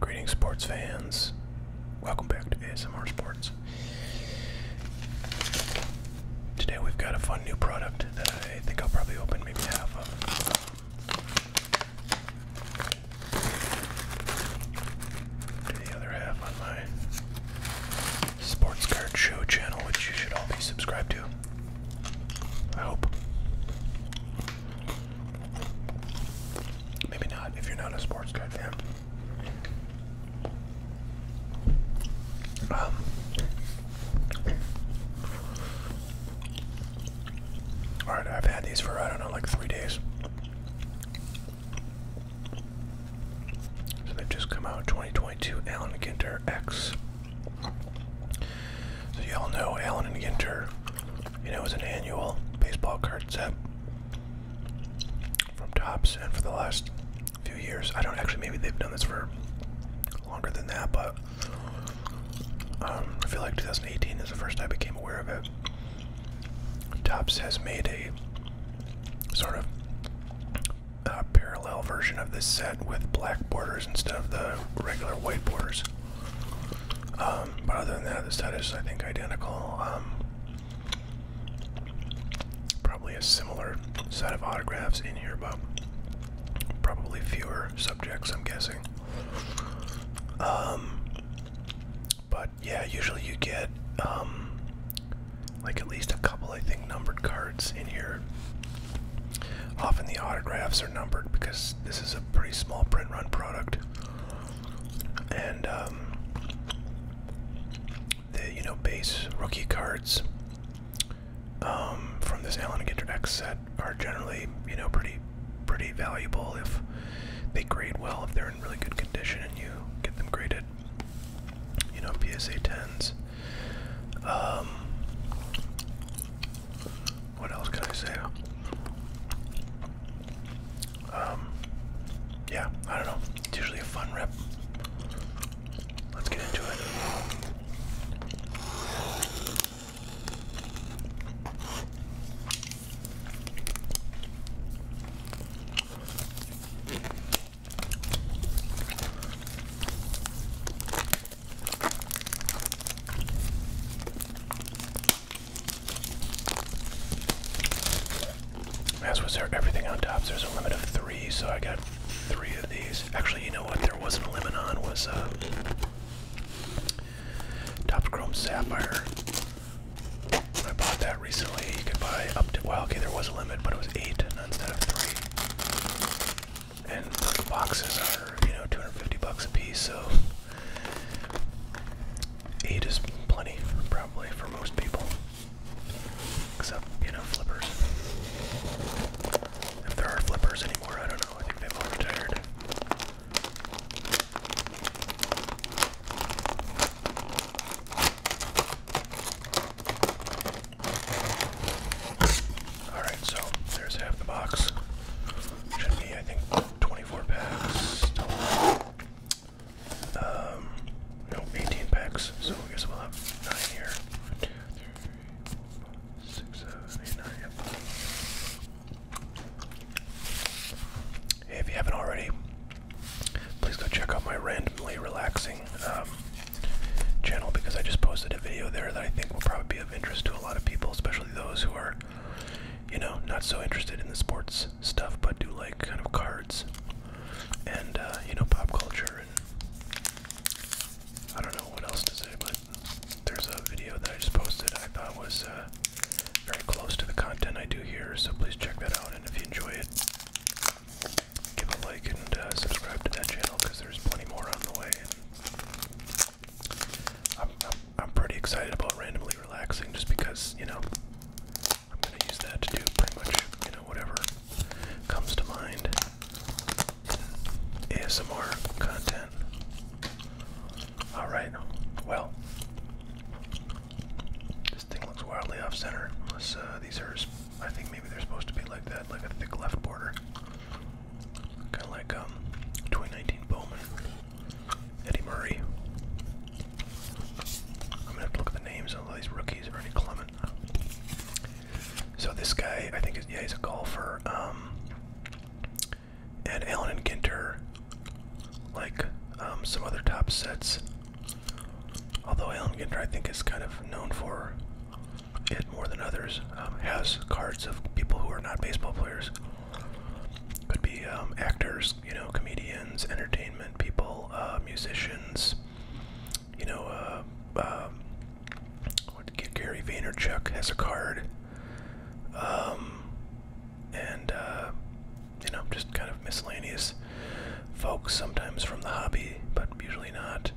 Greetings, sports fans. Welcome back to ASMR Sports. Today we've got a fun new product that I think I'll probably open maybe half of the other half on my sports card show channel, which you should all be subscribed to. I hope. Maybe not if you're not a sports card fan. Um, Alright, I've had these for I don't know, like three days. So they've just come out 2022 Alan Ginter X. So you all know Alan and Ginter, you know, is an annual baseball card set from Tops, and for the last few years, I don't actually maybe they've done this for longer than that, but um, I feel like 2018 is the first I became aware of it. Tops has made a sort of a parallel version of this set with black borders instead of the regular white borders. Um, but other than that, the set is, I think, identical. Um, probably a similar set of autographs in here, but probably fewer subjects, I'm guessing. Um, but yeah, usually you get um, like at least a couple, I think, numbered cards in here. Often the autographs are numbered because this is a pretty small print run product, and um, the you know base rookie cards um, from this Allen and Ginter X set are generally you know pretty pretty valuable if they grade well if they're in really good condition and you get them graded you know, PSA 10s. Um, what else can I say? Um, yeah, I don't know. It's usually a fun rep. Let's get into it. As was there everything on tops, there's a limit of three, so I got three of these. Actually, you know what? There wasn't a limit on was uh, top chrome sapphire. I bought that recently. You could buy up to, well, okay, there was a limit, but it was eight instead of three. And those boxes are, you know, 250 bucks a piece, so eight is plenty, probably, for most people. Except, you know, flippers. If there are flippers anymore, I don't know. I think they are all retired. Alright, so there's half the box. Should be, I think, 24 packs. Um, no, 18 packs, so I guess we'll have 9 here. 1, yep. Hey, if you haven't already, please go check out my randomly relaxing um, channel because I just posted a video there that I think will probably be of interest to a lot of people, especially those who are, you know, not so interested in the sports stuff but do like kind of cards and, uh, you know, pop culture and I don't know what else to say, but there's a video that I just posted I thought was uh, very close to the content I do here, so please check that out. And if you enjoy it, give a like and uh, subscribe to that channel because there's plenty more on the way. I'm, I'm, I'm pretty excited about randomly relaxing just because, you know, I'm going to use that to do pretty much, you know, whatever comes to mind. ASMR content. Alright, well, this thing looks wildly off center. Unless uh, these are, I think maybe they're supposed to be like that, like a thick left border. Kind of like um, 2019 Bowman, Eddie Murray. I'm gonna have to look at the names of all these rookies. Ernie Clement. So this guy, I think, is yeah, he's a golfer. Um, and Allen and Ginter, like um, some other top sets. Although Allen Ginter, I think, is kind of known for it more than others, um, has cards of people who are not baseball players. Could be um, actors, you know, comedians, entertainment people, uh, musicians, you know, uh, Gary Vaynerchuk has a card. and uh, you know, just kind of miscellaneous folks, sometimes from the hobby, but usually not,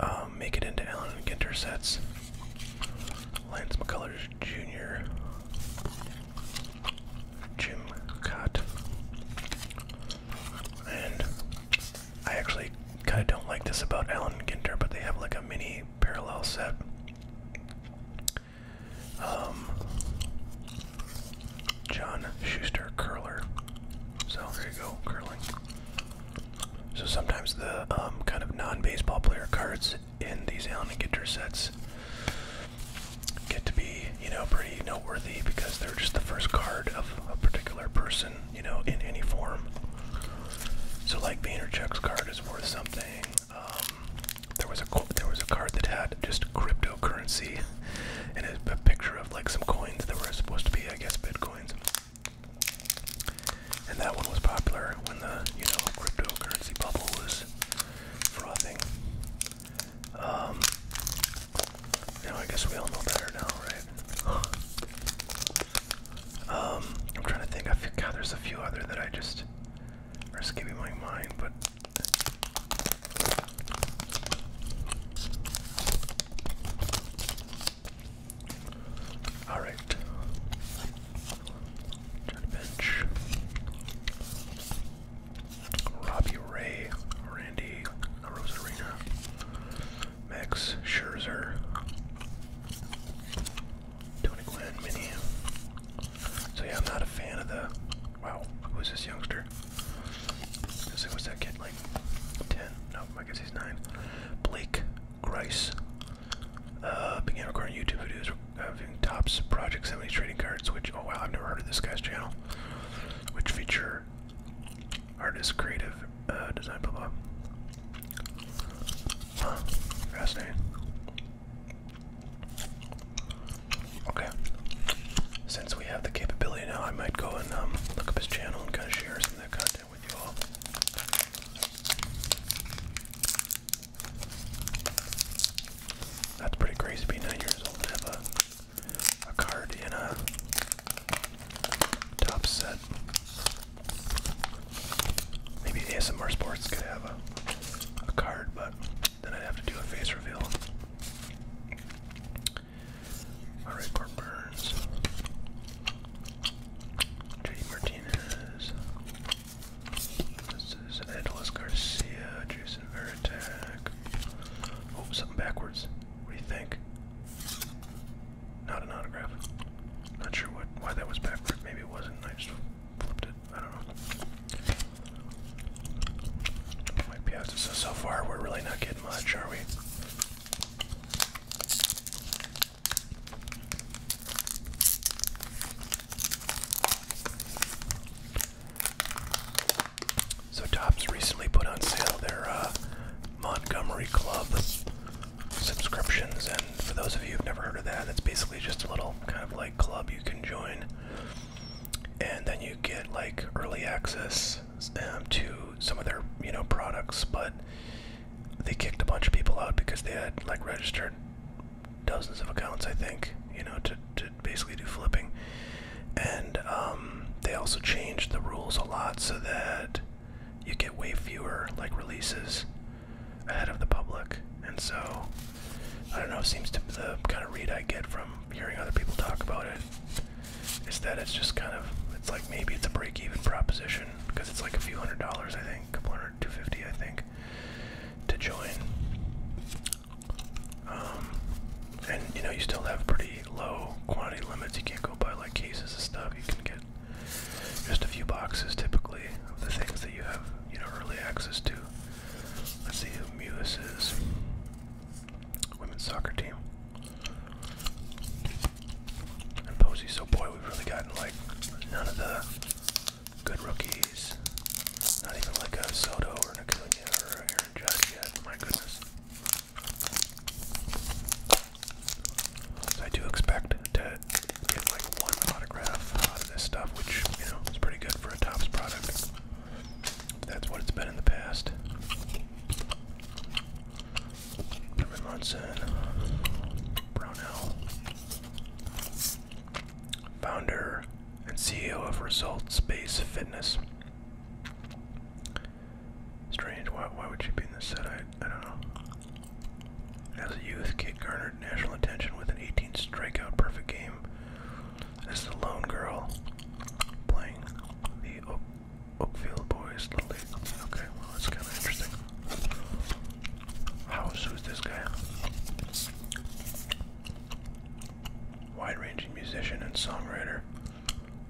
um, make it into Allen Ginter sets. Lance McCullers Jr., Jim Cott, and I actually kind of don't like this about Alan and Ginter, but they have like a mini parallel set um, John Schuster Curler. So there you go, curling. So sometimes the um, kind of non-baseball player cards in these Allen and Ginter sets get to be, you know, pretty noteworthy because they're just the first card of a particular person, you know, in any form. So like Vaynerchuk's card is worth something. Um, there was a there was a card that had just cryptocurrency and a, picture of like some coins that were supposed to be, I guess, bitcoins. And that one was popular when the you know cryptocurrency bubble was frothing. Um, now I guess we all know better now, right? Um, I'm trying to think God, there's a few other that I just or skippy like mine, but all right. Turn bench. Robbie Ray, Randy Rosarina, Max Scherzer, Tony Glenn, Mini, so yeah, I'm not a fan of the. Wow, who is this youngster? Let's see, what's that kid like? Ten? No, I guess he's nine. Blake Grice uh, began recording YouTube videos uh, Tops Topps Project 70 trading cards, which oh wow, I've never heard of this guy's channel, which feature Artist, creative uh, design, blah blah. fascinating. Okay. Since we have the capability now, I might go and um, look up his channel and kind of share some of that content with you all. That's pretty crazy to be nine years old and have a card in a top set. Maybe ASMR Sports could have a, a card, but then I'd have to do a face reveal. Alright, Burns. JD Martinez. This Garcia, Jason Veritek. Oh, something backwards. What do you think? Not an autograph. Not sure what why that was backward. Maybe it wasn't. I just flipped it. I don't know. Might be out. So so far we're really not getting much, are we? So Tops recently put on sale their uh, Montgomery Club subscriptions. And for those of you who've never heard of that, it's basically just a little kind of like club you can join, and then you get like early access um, to some of their you know products. But they kicked a bunch of people out because they had like registered dozens of accounts, I think, you know, to to basically do flipping. And um, they also changed the rules a lot so that you get way fewer like releases ahead of the public. And so, I don't know, it seems to the kind of read I get from hearing other people talk about it is that it's just kind of, it's like maybe it's a break even proposition because it's like a few hundred dollars, I think, a couple hundred, 250, I think, to join. Um, and you know, you still have pretty low quantity limits. You can't go buy like cases of stuff. You can get just a few boxes typically of the things that you have, you know, early access to. Let's see who Mewis is. Women's soccer team. And Posey, so boy, we've really gotten like none of the good rookies. Not even like a Soto or an Acuna or Aaron Judge yet. My goodness. I do expect to get like one autograph out of this stuff, which you know is pretty good for a Topps product. That's what it's been in the past. Norman Munson, Brownell, founder and CEO of Results Based Fitness. Strange. Why? Why would she be in this set? I I don't know. As a youth, Kid garnered national attention with an 18 strikeout perfect game as the lone girl playing the Oakfield Boys Little League. Okay, well, that's kind of interesting. House, was this guy? Wide ranging musician and songwriter.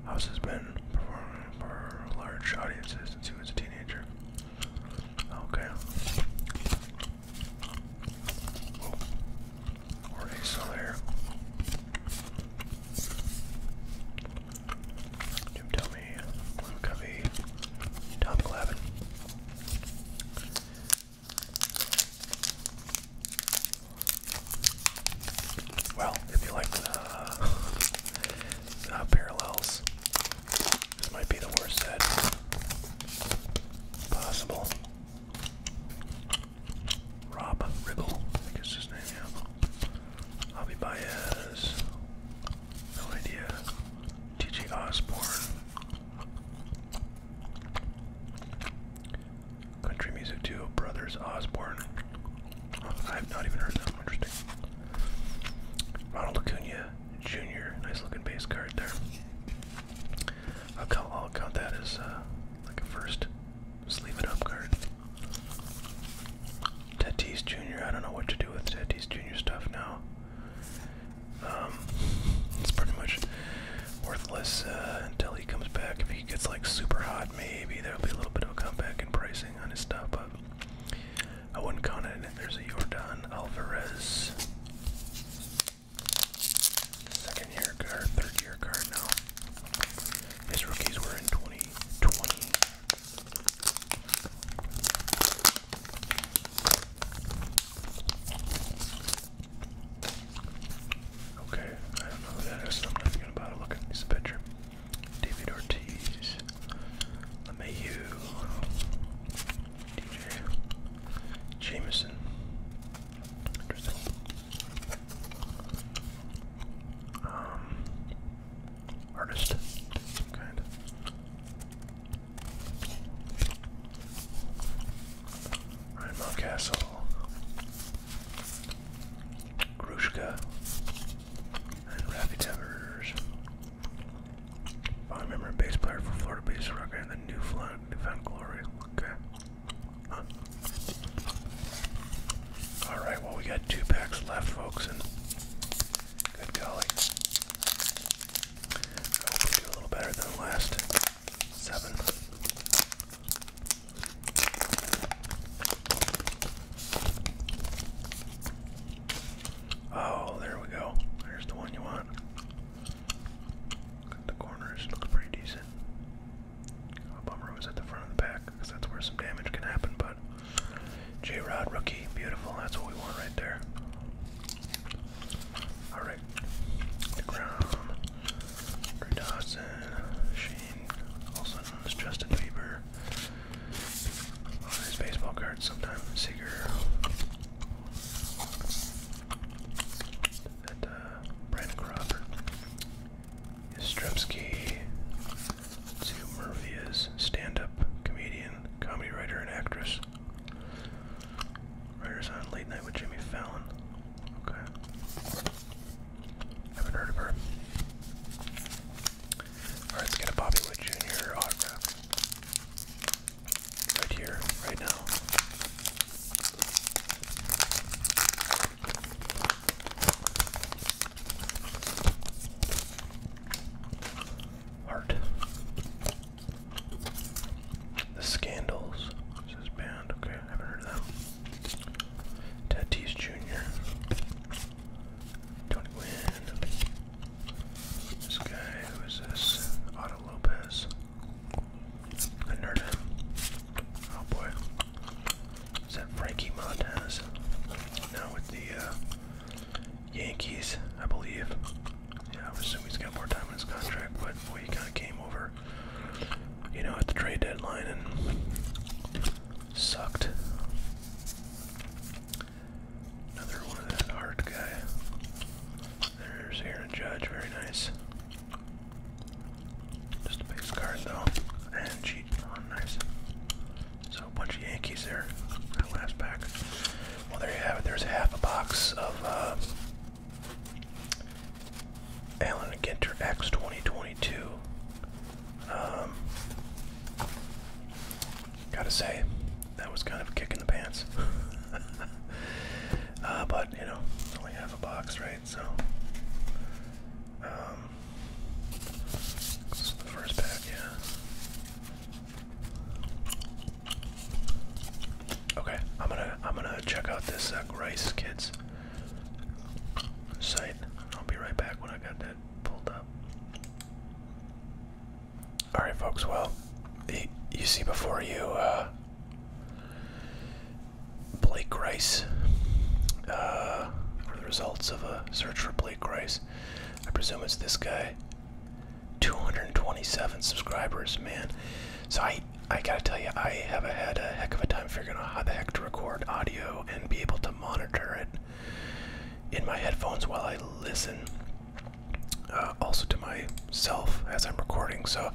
House has been performing for large audiences since he was a teenager. Okay. Whoa. Or a solar. Jim tell me Blue Covey. Tom Clavin. Well, if you like the uh, Not uh, parallels. This might be the worst set possible. Rob Riddle, I guess his name, yeah. Javi Baez, no idea. TG Osborne. Country Music Duo Brothers Osborne. I've not even heard that. Interesting. Ronald Acuna Jr. Nice looking base card there. I'll count, that as uh, like a first sleeve it up card. Tatis Jr. I don't know what to do with Tatis Jr. stuff now. Um, it's pretty much worthless uh, until he comes back. If he gets like super hot, maybe there'll be a little bit of a comeback in pricing on his stuff. But I would Owen Conan, it. there's a Jordan Alvarez. Second year card, third year card now. His rookies were in 2020. Okay, I don't know who that is, I'm not gonna bother looking at this picture. David Ortiz, LeMayu, DJ, Jameson. Interesting. Um, artist, some kind. Ryan Mountcastle, Grushka, and Rapitamers. Found member and bass player for Florida Bass Rocker and the Newfound, Newfound Glory. Okay. Huh. Alright, well, we got two packs left, folks, and good golly. I hope we do a little better than the last seven. Oh, there we go. There's the one you want. The corners look pretty decent. Oh, bummer was at the front of the pack because that's where some damage can happen. But J Rod rookie, beautiful. That's what we want right there. All right, the Grom, Dawson, Kane, also known as Justin Bieber. On his baseball cards, sometimes Seager. And uh, Brandon Cropper. Yastrzemski. Let's see who Murphy is. Stand-up comedian, comedy writer, and actress. Writers on Late Night with Jimmy Fallon. Okay. Haven't heard of her. Alright, let's get a Bobby Wood Jr. autograph. Right here, right now. Heart. The Scandals. This band. Okay, I haven't heard of Tatis Jr. Tony Wynn. This guy, who is this? Otto Lopez. I nerd Oh boy. Is that Frankie Montez? Now with the uh, Yankees, I believe. Yeah, I would assuming he's got more time on his contract, but boy, he kind of came over you know, at the trade deadline and sucked. Another one of that hard guy. There's Aaron Judge, very nice. Just a base card though, and cheat. Oh, nice. So a bunch of Yankees there. That last pack. Well, there you have it. There's half a box of uh, Alan Ginter X 2022. Um, gotta say, that was kind of a kick in the pants. Uh, but, you know, only half a box, right? So, um, this is the first pack, yeah. Okay, I'm gonna, I'm gonna check out this uh, Rice Kids site. I'll be right back when I got that pulled up. Alright, folks, well, you see before you uh, Blake Rice, uh, or the results of a search for Blake Rice. I presume it's this guy. 227 subscribers, man. So I I gotta tell you, I haven't had a heck of a time figuring out how the heck to record audio and be able to monitor it in my headphones while I listen. Uh, also to myself as I'm recording, so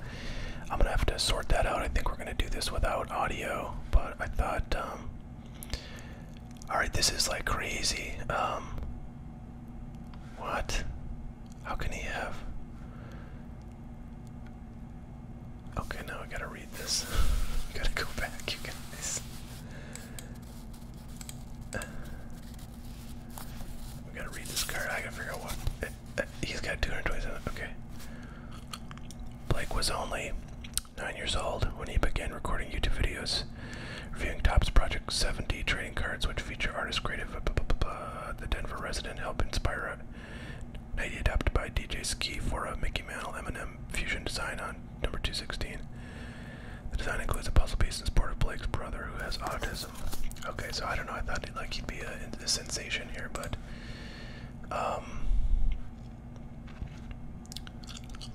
I'm gonna have to sort that out. I think we're gonna do this without audio, but I thought, um, all right, this is like crazy. Um, what? How can he have? Okay, now I gotta read this. gotta go back, you guys. We gotta read this card. I gotta figure out what. Eh, eh, he's got 227. Okay. Blake was only nine years old when he began recording YouTube videos, reviewing Topps Project 7D trading cards, which feature artist creative. Blah, The Denver resident helped inspire Nighty adapted by DJ Ski for a Mickey Mantle M&M fusion design on number 216. The design includes a puzzle piece in support of Blake's brother who has autism. Okay, so I don't know. I thought he'd, like he'd be a, sensation here, but um,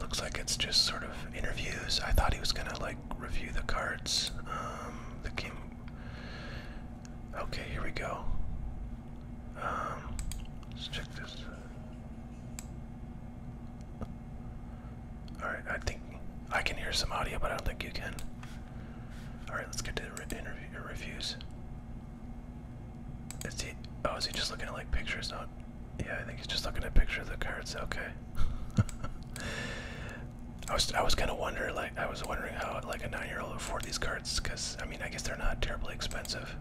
looks like it's just sort of interviews. I thought he was gonna like review the cards um, that Okay, here we go. Um, let's check this. Alright, I think I can hear some audio, but I don't think you can. Alright, let's get to the interview uh, reviews. Is he, oh, is he just looking at like pictures? Not, yeah, I think he's just looking at pictures of the cards. Okay. I was I was kind of wonder like I was wondering how like a nine year old afford these cards because I mean I guess they're not terribly expensive.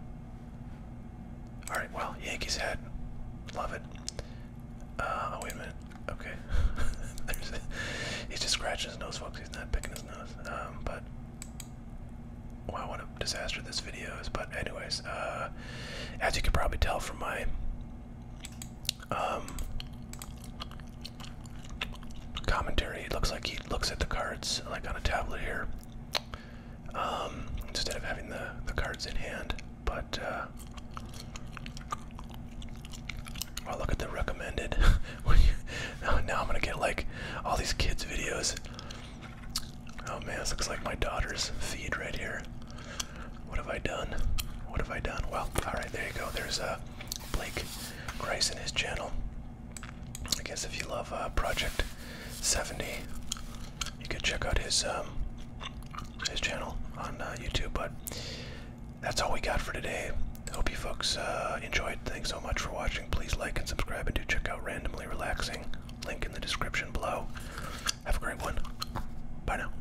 All right, well Yankees head, love it. Uh, oh wait a minute, okay. he's just scratching his nose, folks. He's not picking his nose. Um, but wow, what a disaster this video is. But anyways, uh, as you can probably tell from my um, commentary. It looks like he looks at the cards like on a tablet here, um, instead of having the the cards in hand. But uh, I'll oh, look at the recommended. Oh, now I'm gonna get like all these kids' videos. Oh man, this looks like my daughter's feed right here. What have I done? What have I done? Well, all right, there you go. There's a uh, Blake Grice and his channel. I guess if you love uh, Project 70, you could check out his um, his channel on uh, YouTube. But that's all we got for today. Hope you folks uh, enjoyed. Thanks so much for watching. Please like and subscribe, and do check out Randomly Relaxing. Link in the description below. Have a great one. Bye now.